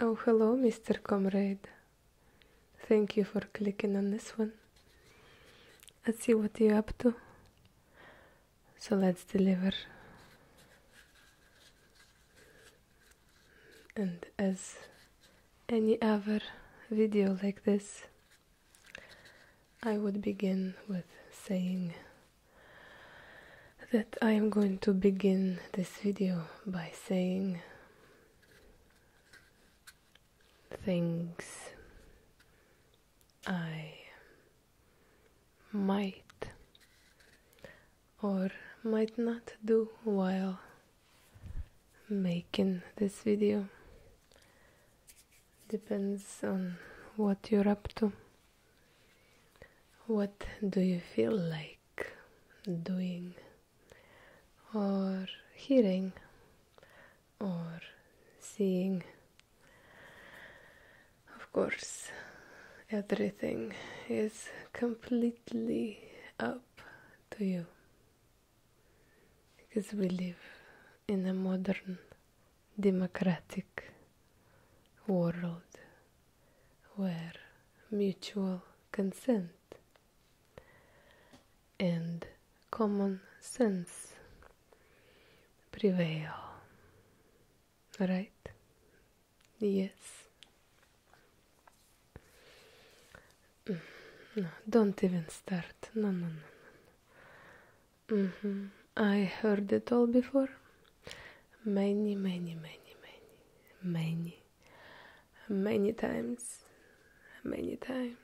Oh, hello, Mr. Comrade. Thank you for clicking on this one. Let's see what you're up to. So let's deliver. And as any other video like this, I would begin with saying that I am going to begin this video by saying things I might or might not do while making this video Depends on what you're up to. What do you feel like doing or hearing or seeing? Of course, everything is completely up to you because we live in a modern democratic world where mutual consent and common sense prevail. Right? Yes. Mm, don't even start. no, no, no. Mm-hmm. I heard it all before. Many, many, many, many, many, many times. Many times.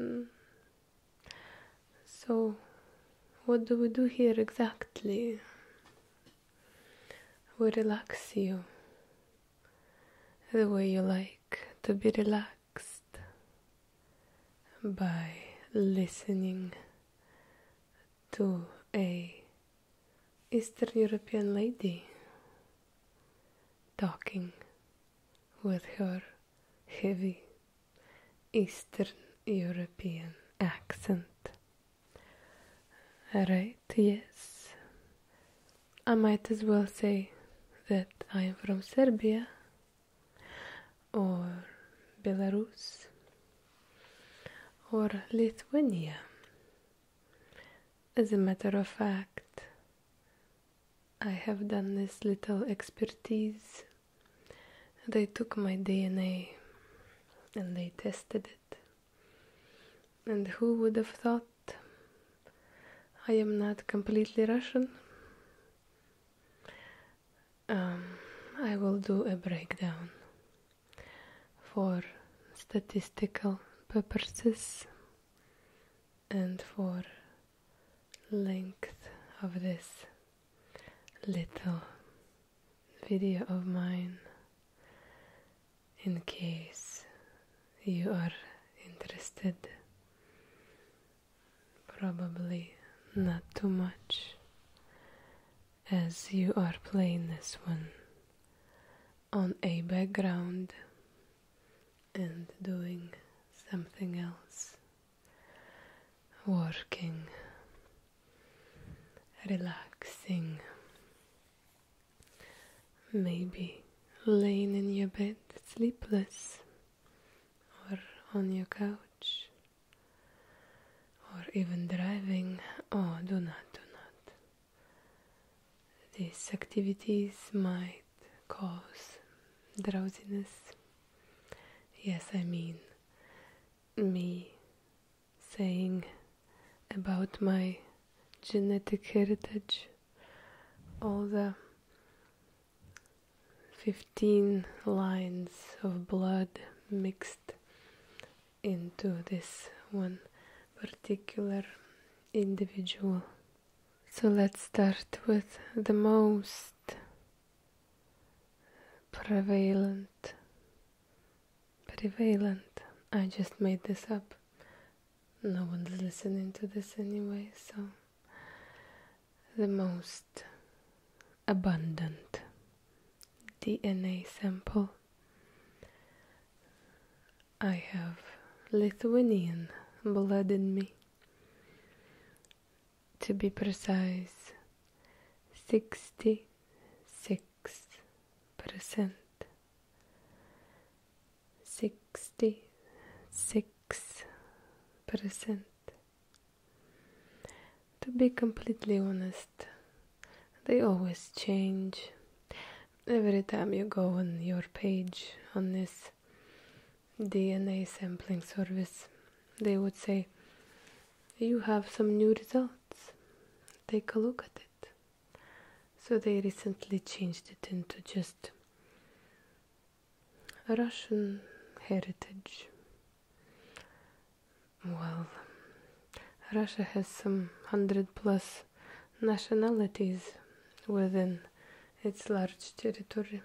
Mm-hmm. So, what do we do here exactly? We relax you the way you like to be relaxed by listening to a Eastern European lady talking with her heavy Eastern European accent. Right, yes. I might as well say that I am from Serbia or Belarus or Lithuania. As a matter of fact, I have done this little expertise. They took my DNA and they tested it. And who would have thought I am not completely Russian. Um, I will do a breakdown for statistical purposes and for length of this little video of mine in case you are interested. Probably not too much, as you are playing this one on a background and doing something else, working, relaxing. Maybe laying in your bed sleepless, or on your couch, or even driving. Oh, do not, do not. These activities might cause drowsiness. Yes, I mean me saying about my genetic heritage all the 15 lines of blood mixed into this one particular individual. So let's start with the most prevalent prevalent I just made this up no one's listening to this anyway, so the most abundant DNA sample I have Lithuanian blood in me. To be precise, 66%. 66 percent. To be completely honest, they always change. Every time you go on your page on this DNA sampling service, they would say, You have some new results. Take a look at it. So they recently changed it into just Russian heritage. Well, Russia has some hundred plus nationalities within its large territory,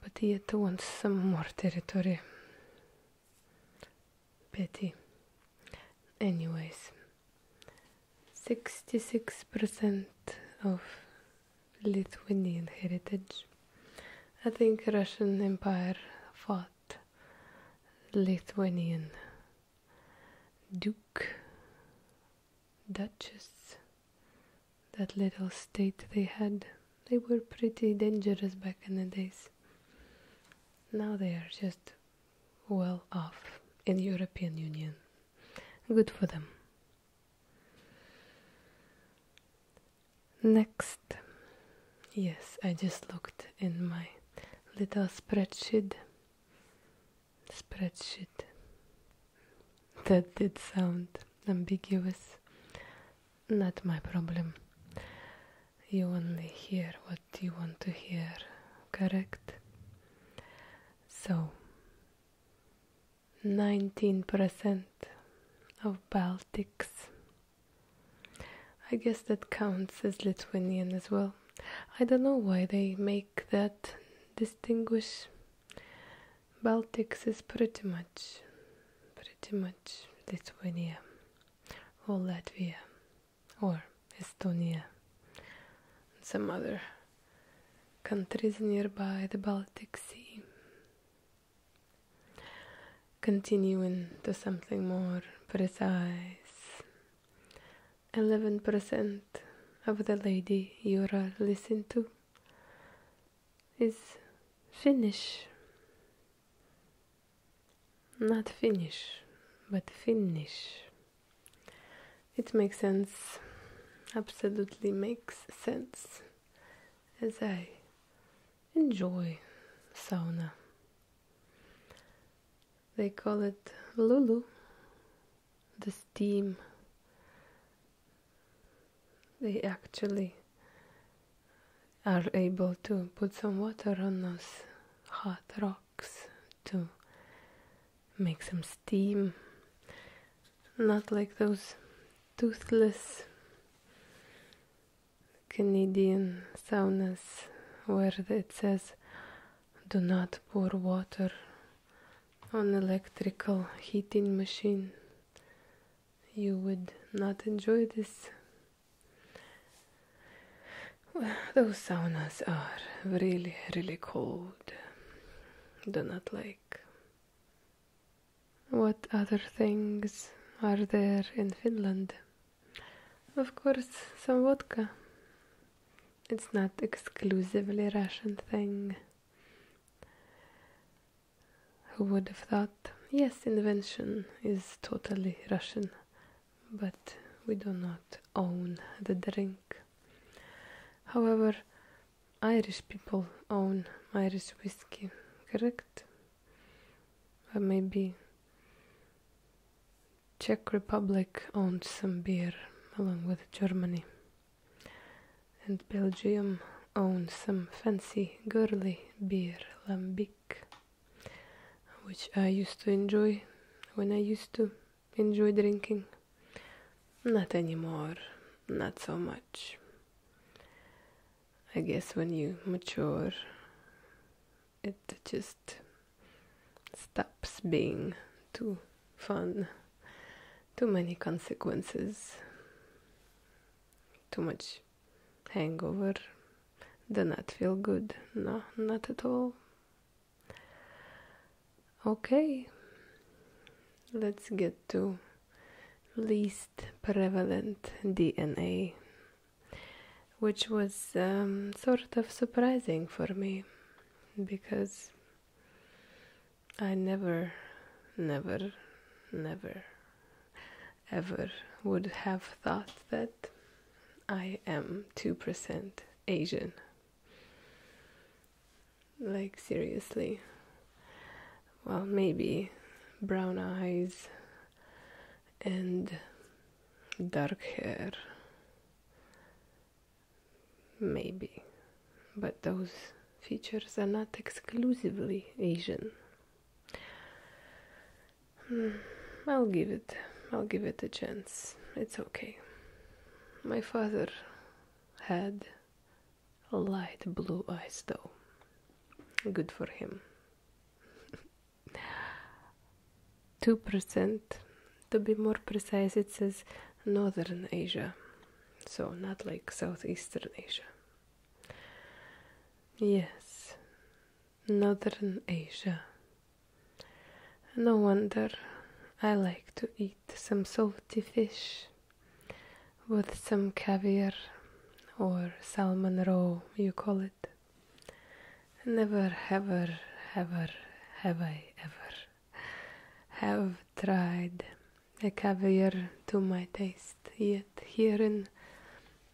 but yet wants some more territory petty. Anyways, 66% of Lithuanian heritage. I think Russian Empire fought Lithuanian dukes, duchesses. that little state they had. They were pretty dangerous back in the days. Now they are just well off in European Union. Good for them. Next, yes, I just looked in my little spreadsheet. Spreadsheet. That did sound ambiguous. Not my problem. You only hear what you want to hear, correct? So, 19% of Baltics. I guess that counts as Lithuanian as well. I don't know why they make that distinguish. Baltics is pretty much, pretty much Lithuania or Latvia or Estonia, and some other countries nearby the Baltic Sea. Continuing to something more precise. 11% of the lady you are listening to is Finnish. Not finish, but finish. It makes sense, absolutely makes sense, as I enjoy sauna. They call it Lulu, the steam. They actually are able to put some water on those hot rocks to make some steam. Not like those toothless Canadian saunas where it says do not pour water on electrical heating machine. You would not enjoy this those saunas are really, really cold. Do not like. What other things are there in Finland? Of course, some vodka. It's not exclusively Russian thing. Who would have thought? Yes, invention is totally Russian, but we do not own the drink. However, Irish people own Irish whiskey, correct? Or uh, maybe Czech Republic owns some beer along with Germany. And Belgium owns some fancy girly beer, Lambic which I used to enjoy when I used to enjoy drinking. Not anymore, not so much. I guess when you mature, it just stops being too fun, too many consequences, too much hangover do not feel good. No, not at all. Okay, let's get to least prevalent DNA, which was um, sort of surprising for me because I never, never, never ever would have thought that I am 2% Asian. Like, seriously. Well, maybe brown eyes and dark hair. Maybe. But those features are not exclusively Asian. Hmm, I'll give it. I'll give it a chance. It's okay. My father had light blue eyes, though. Good for him. 2%, to be more precise, it says Northern Asia, so not like Southeastern Asia. Yes, Northern Asia. No wonder I like to eat some salty fish with some caviar or salmon roe, you call it. Never, ever, ever have I ever have tried a caviar to my taste yet here in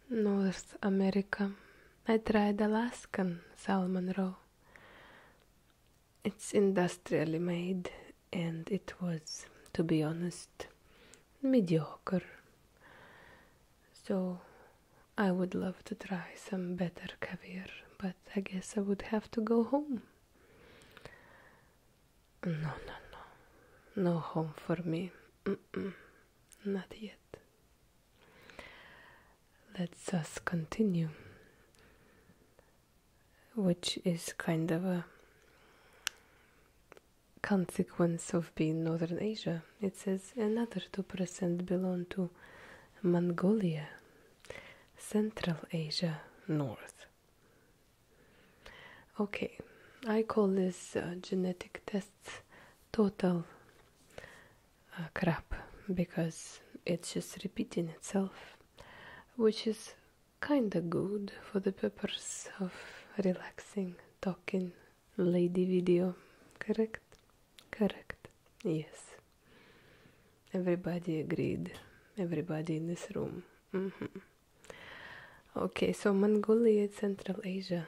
North America. I tried Alaskan salmon roe. It's industrially made and it was, to be honest, mediocre. So I would love to try some better caviar, but I guess I would have to go home. No, no, no. No home for me. Not yet. Let's us continue. Which is kind of a consequence of being Northern Asia. It says another 2% belong to Mongolia, Central Asia, North. Okay, I call this uh, genetic tests total uh, crap because it's just repeating itself, which is kinda good for the purpose of relaxing, talking, lady video. Correct? Correct. Yes. Everybody agreed. Everybody in this room. Mm-hmm. Okay, so Mongolia Central Asia.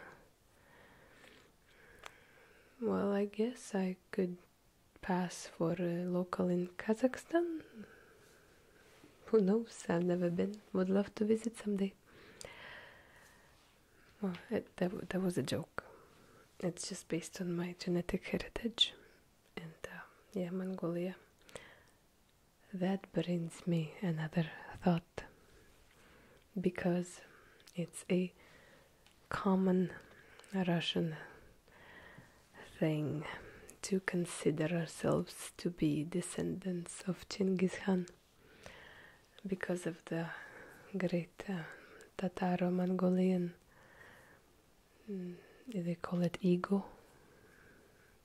Well, I guess I could pass for a local in Kazakhstan. Who knows? I've never been. Would love to visit someday. Well, that, that was a joke. It's just based on my genetic heritage. And uh, yeah, Mongolia. That brings me another thought because it's a common Russian thing to consider ourselves to be descendants of Genghis Khan because of the great uh, Tataro Mongolian, mm, they call it ego,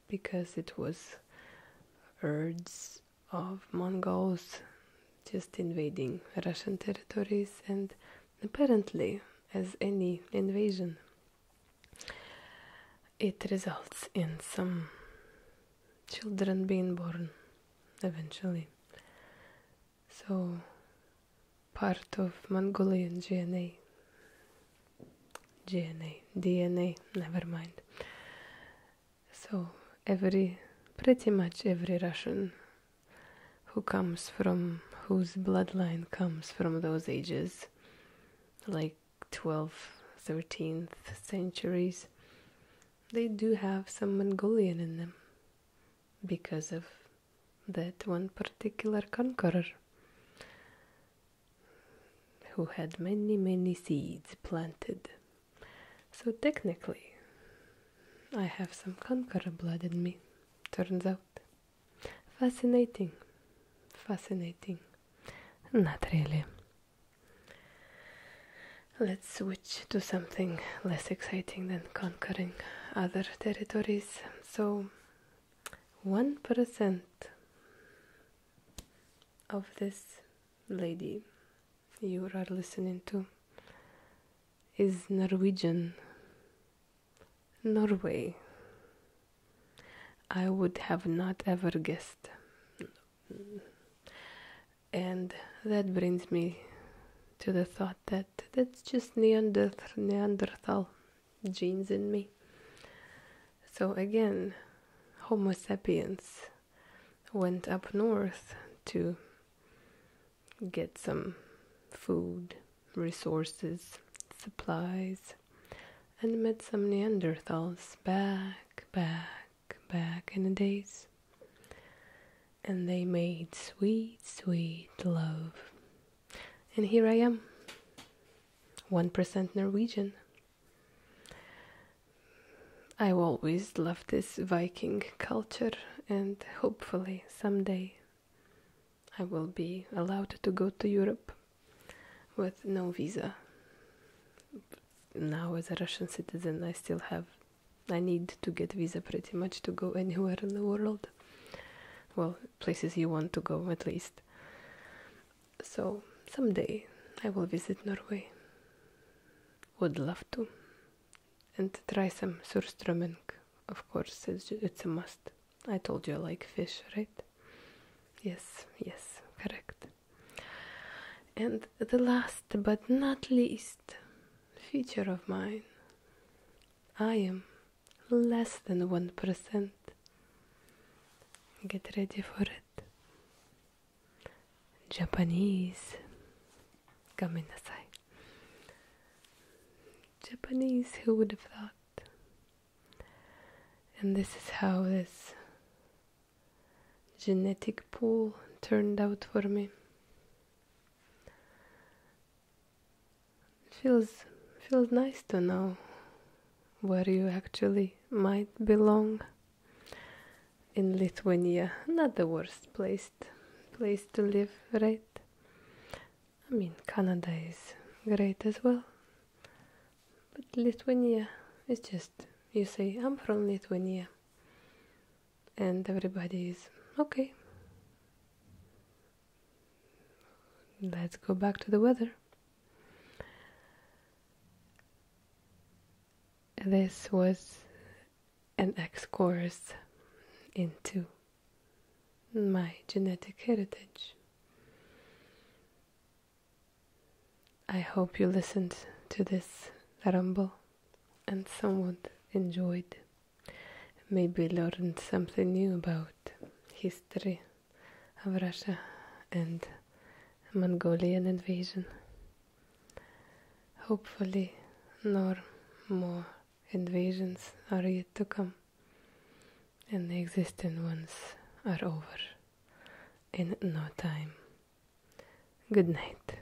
because it was herds of Mongols just invading Russian territories and apparently as any invasion it results in some children being born eventually so part of Mongolian DNA GNA, DNA, never mind. So every, pretty much every Russian who comes from, whose bloodline comes from those ages, like 12th, 13th centuries, they do have some Mongolian in them because of that one particular conqueror who had many, many seeds planted. So technically, I have some conqueror blood in me, turns out. Fascinating. Fascinating. Not really. Let's switch to something less exciting than conquering other territories. So, one percent of this lady you are listening to is Norwegian. Norway. I would have not ever guessed. And that brings me to the thought that that's just Neanderthal genes in me. So again, Homo sapiens went up north to get some food, resources, supplies, and met some Neanderthals back, back, back in the days. And they made sweet, sweet love and here I am, 1% Norwegian. I always loved this Viking culture, and hopefully someday I will be allowed to go to Europe with no visa. Now, as a Russian citizen, I still have, I need to get visa pretty much to go anywhere in the world well places you want to go at least so someday i will visit norway would love to and try some surströmming of course it's, a must i told you i like fish right yes yes correct and the last but not least feature of mine i am less than 1%. Get ready for it. Japanese. Gamenasai. Japanese, who would have thought? And this is how this genetic pool turned out for me. Feels feels nice to know where you actually might belong in Lithuania. Not the worst place place to live, right? I mean, Canada is great as well. But Lithuania is just you say I'm from Lithuania and everybody is okay. Let's go back to the weather. This was an excurse into my genetic heritage. I hope you listened to this ramble and somewhat enjoyed maybe learned something new about history of Russia and Mongolian invasion. Hopefully, no more invasions are yet to come, and the existing ones are over in no time. Good night.